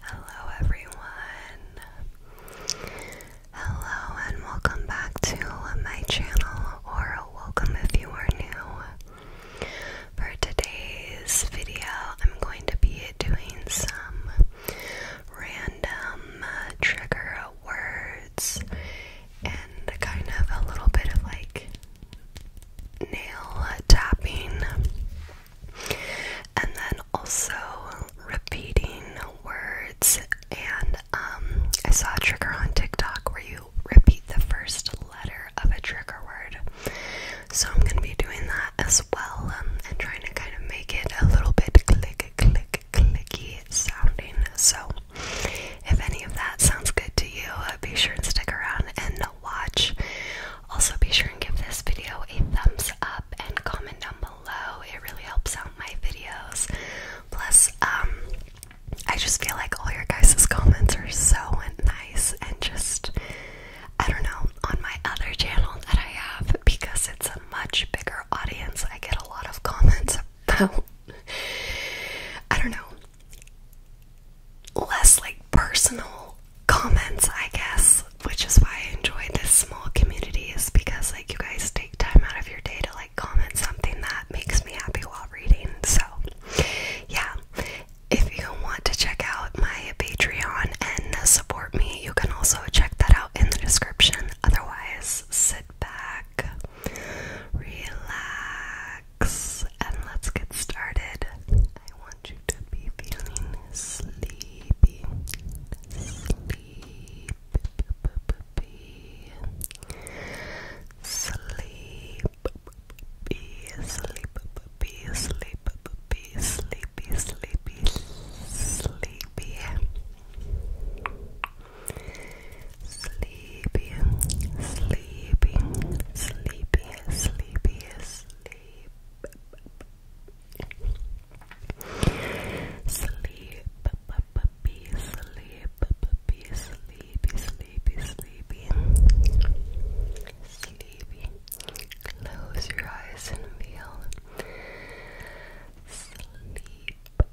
Hello, everyone. Hello, and welcome back to my channel, or welcome if you are new. For today's video, I'm going to be doing some random uh, trigger words and kind of a little bit of like nail tapping, and then also repeating words. And um, I saw a trigger on TikTok where you repeat the first letter of a trigger word. So I'm going to be doing that as well um, and trying to kind of make it a little bit click, click, clicky pretty sounding. So, if any of that sounds good to you, uh, be sure and stick around and watch. Also, be sure and give this video a thumbs up and comment down below. It really helps out my videos. Plus, um, I just feel like all your guys's comments are so nice and just, I don't know, on my other channel that I have because it's a much bigger audience. I get a lot of comments I don't know less like personal comments I guess which is why I enjoy this small community is because like you guys take time out of your day to like comment something that makes me happy while reading so yeah if you want to check out my Patreon and support me you can also check that out in the description otherwise sit back relax, and let's get started. I want you to be feeling sleepy, sleepy, sleep, sleep, be sleep, sleepy, sleepy, sleepy. Sleepy, sleepy, sleepy, sleepy, sleep. Sleep, puppy, sleep, puppy, sleepy, sleepy, sleepy. Sleepy. Close your eyes and feel. Sleep.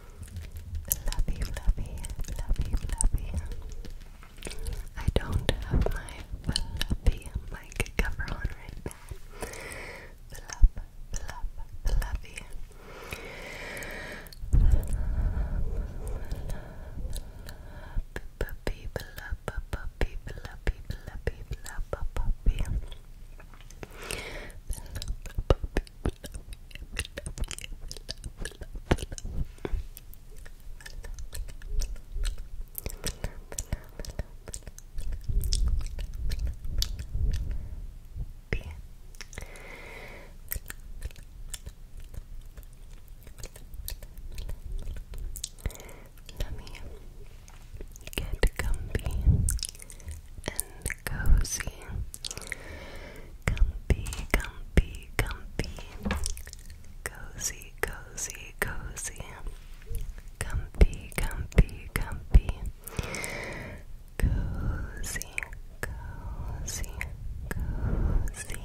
fluffy, fluffy, fluffy, fluffy. I don't have my fluffy mic cover on right now. Fluff, fluff, fluffy. Fluff, let me get comfy, and cozy. Comfy, comfy, comfy. Cozy, cozy, cozy. Comfy, comfy, comfy. Cozy, cozy, cozy.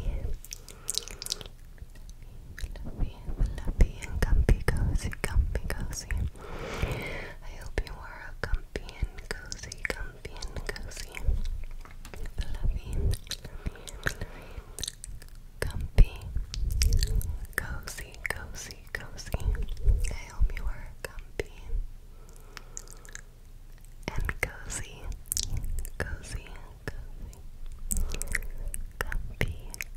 Fluffy, fluffy, and comfy, cozy, comfy, cozy. I hope you are comfy and cozy, comfy and cozy, fluffy, comfy, cozy, cozy, cozy. I hope you are comfy and cozy, cozy, cozy, comfy,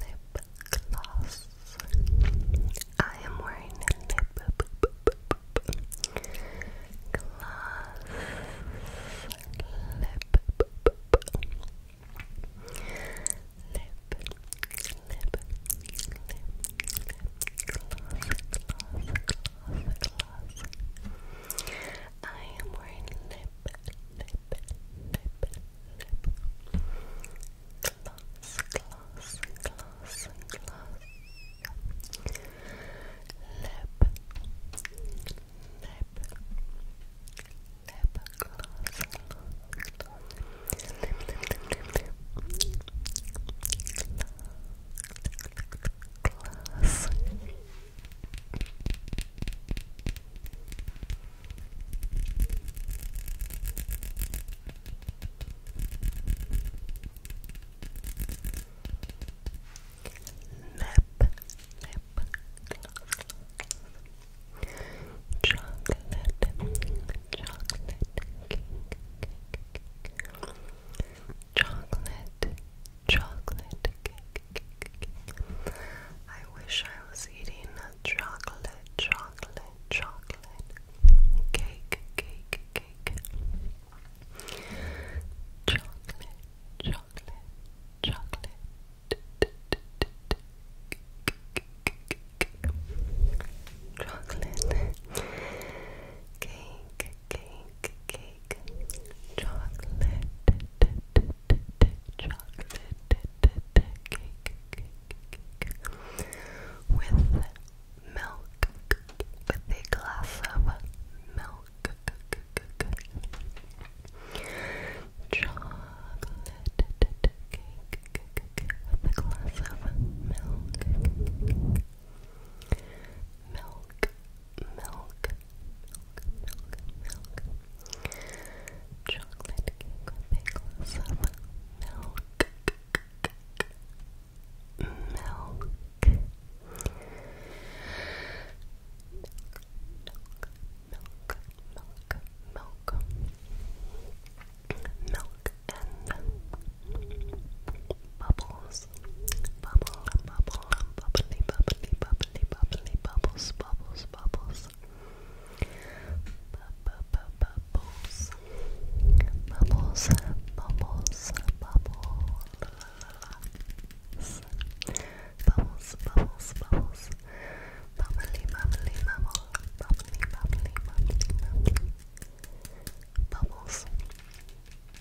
Lip gloss. I am wearing a lip gloss. Lip. Lip. Lip. Lip. Lip. Gloss. Gloss. I am wearing lip, lip, lip, lip gloss, gloss, gloss, gloss lip, lip, lip gloss, gloss lip, lip, lip, lip, glass. Lip, lip, Chocolate, chocolate Chocolate chocolate cake. I wish I was eating a chocolate, chocolate, chocolate cake, cake, cake. Chocolate, chocolate, chocolate. Chocolate cake, cake, cake, chocolate, chocolate with milk, with a glass of milk, chocolate with a glass of milk. Milk, milk, milk, milk, milk. Chocolate cake with a milk, milk, milk, milk, milk, milk, milk, Bubbles, bubble, bubble, bubbly, bubbly, bubbly, bubbly, bubbles, bubbles, bubbles, bu bu bubbles, bubbles, bubbles, bubbles, bubbles, bubbles, bubbles, bubbly, bubbly, bubble, bubbly, bubbly, bubbly, bubbly, bubbles. Bubbles,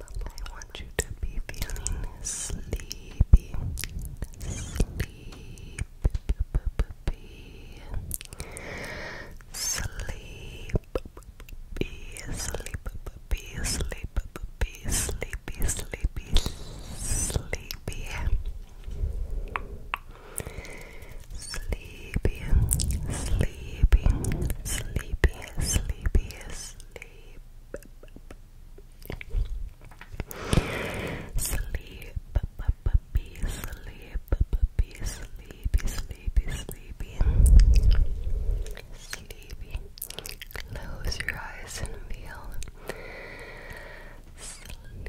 I want you to be feeling sleepy, sleepy, sleep, be sleep, be sleep, be sleepy, sleepy, sleepy. Sleepy, sleepy, sleepy, sleepy, sleepy, sleep. Sleep, be sleep, be sleepy, sleepy, sleepy. Sleepy. Close your eyes and feel. Sleep,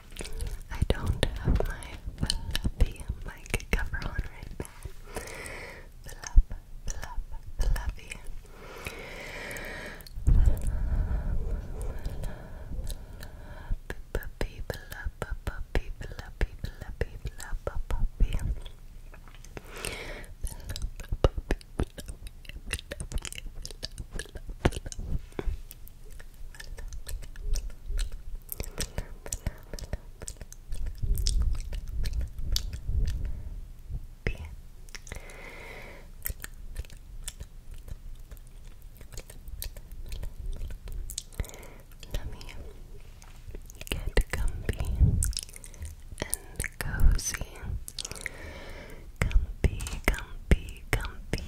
I don't have my fluffy mic cover on right now. Fluff, fluff, fluffy. Bien. Let me get comfy and cozy. Comfy, comfy, comfy.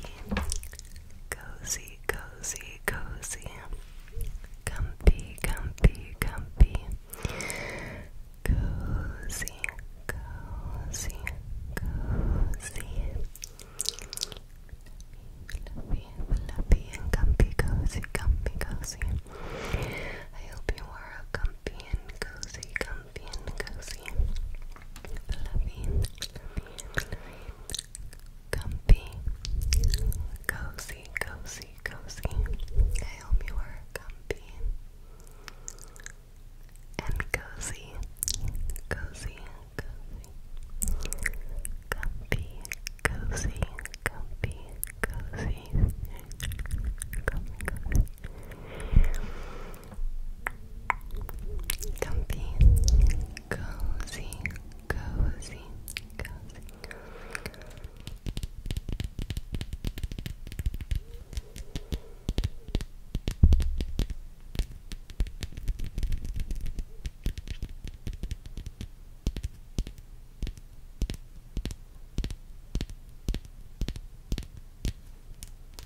Cozy, cozy, cozy. Comfy, comfy, comfy. Cozy, cozy, cozy. Fluffy, fluffy, and comfy, cozy, comfy, cozy. I hope you are a comfy and cozy, comfy comfy and cozy. Fluffy and fluffy Comfy. Cozy, cozy, cozy. I hope you are comfy and cozy. Cozy, cozy. Comfy, cozy, comfy, cozy. Comfy, cozy. Comfy, cozy, cozy, cozy.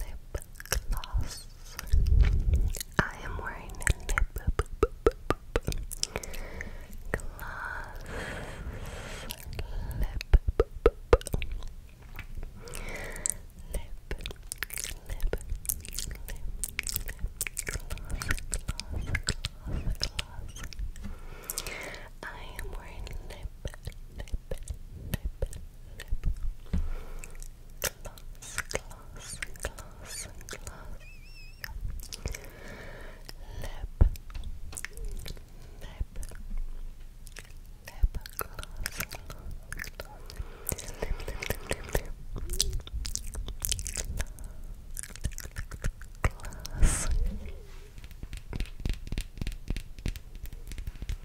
lip gloss. I am wearing lip gloss lip lip lip lip gloss I am wearing lip lip lip lip Close, close, close, close. Lip, lip, lip, close, close, close. Lip, lip, lip, lip, lip. Close. Close.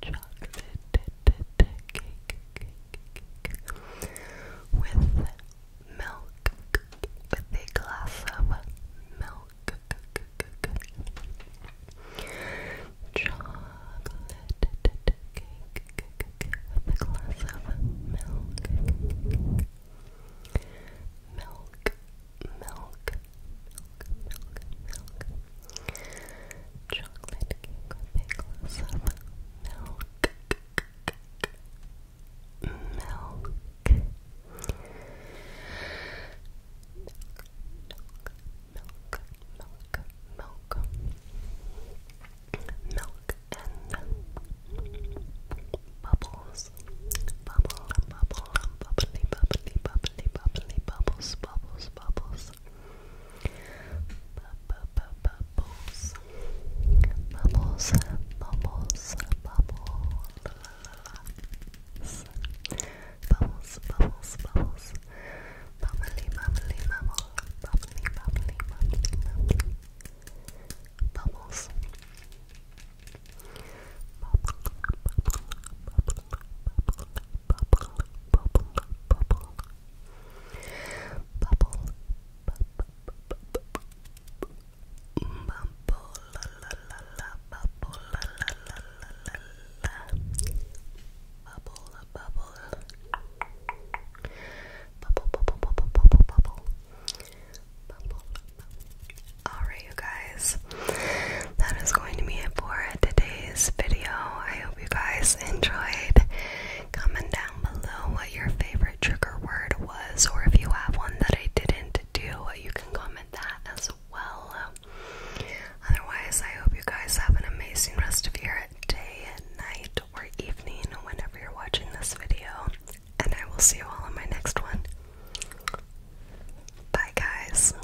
chocolate cake, with milk, with a glass of milk, chocolate cake with a glass of milk. Milk, milk, milk, milk, milk, Chocolate cake with a milk. Milk. Milk, milk, milk, milk, and bubbles, bubble, bubble, bubbly, bubbly, bubbly, bubbles, bubbles, bubbles, bubbles. Bubbles. Bubbles. Bubbles. Bubbles. Bubbles, bubbles, bubbles. Bubbly, bubbly, bubble. Bubbly, bubbly, bubbly, bubbly. Bubbles. Bubble, bubble, bubble, bubble, bubble, bubble, bubble, bubble, bubble, la la la la, bubble, la la la la la la, bubble, bubble, bubble, bubble, bubble, bubble, bubble. Alright, you guys that is going to be it for today's video. I hope you guys enjoyed. Comment down below what your favorite trigger word was, or if you have one that I didn't do, you can comment that as well. Otherwise, I hope you guys have an amazing rest of your day, night, or evening, whenever you're watching this video. And I will see you all in my next one. Bye, guys.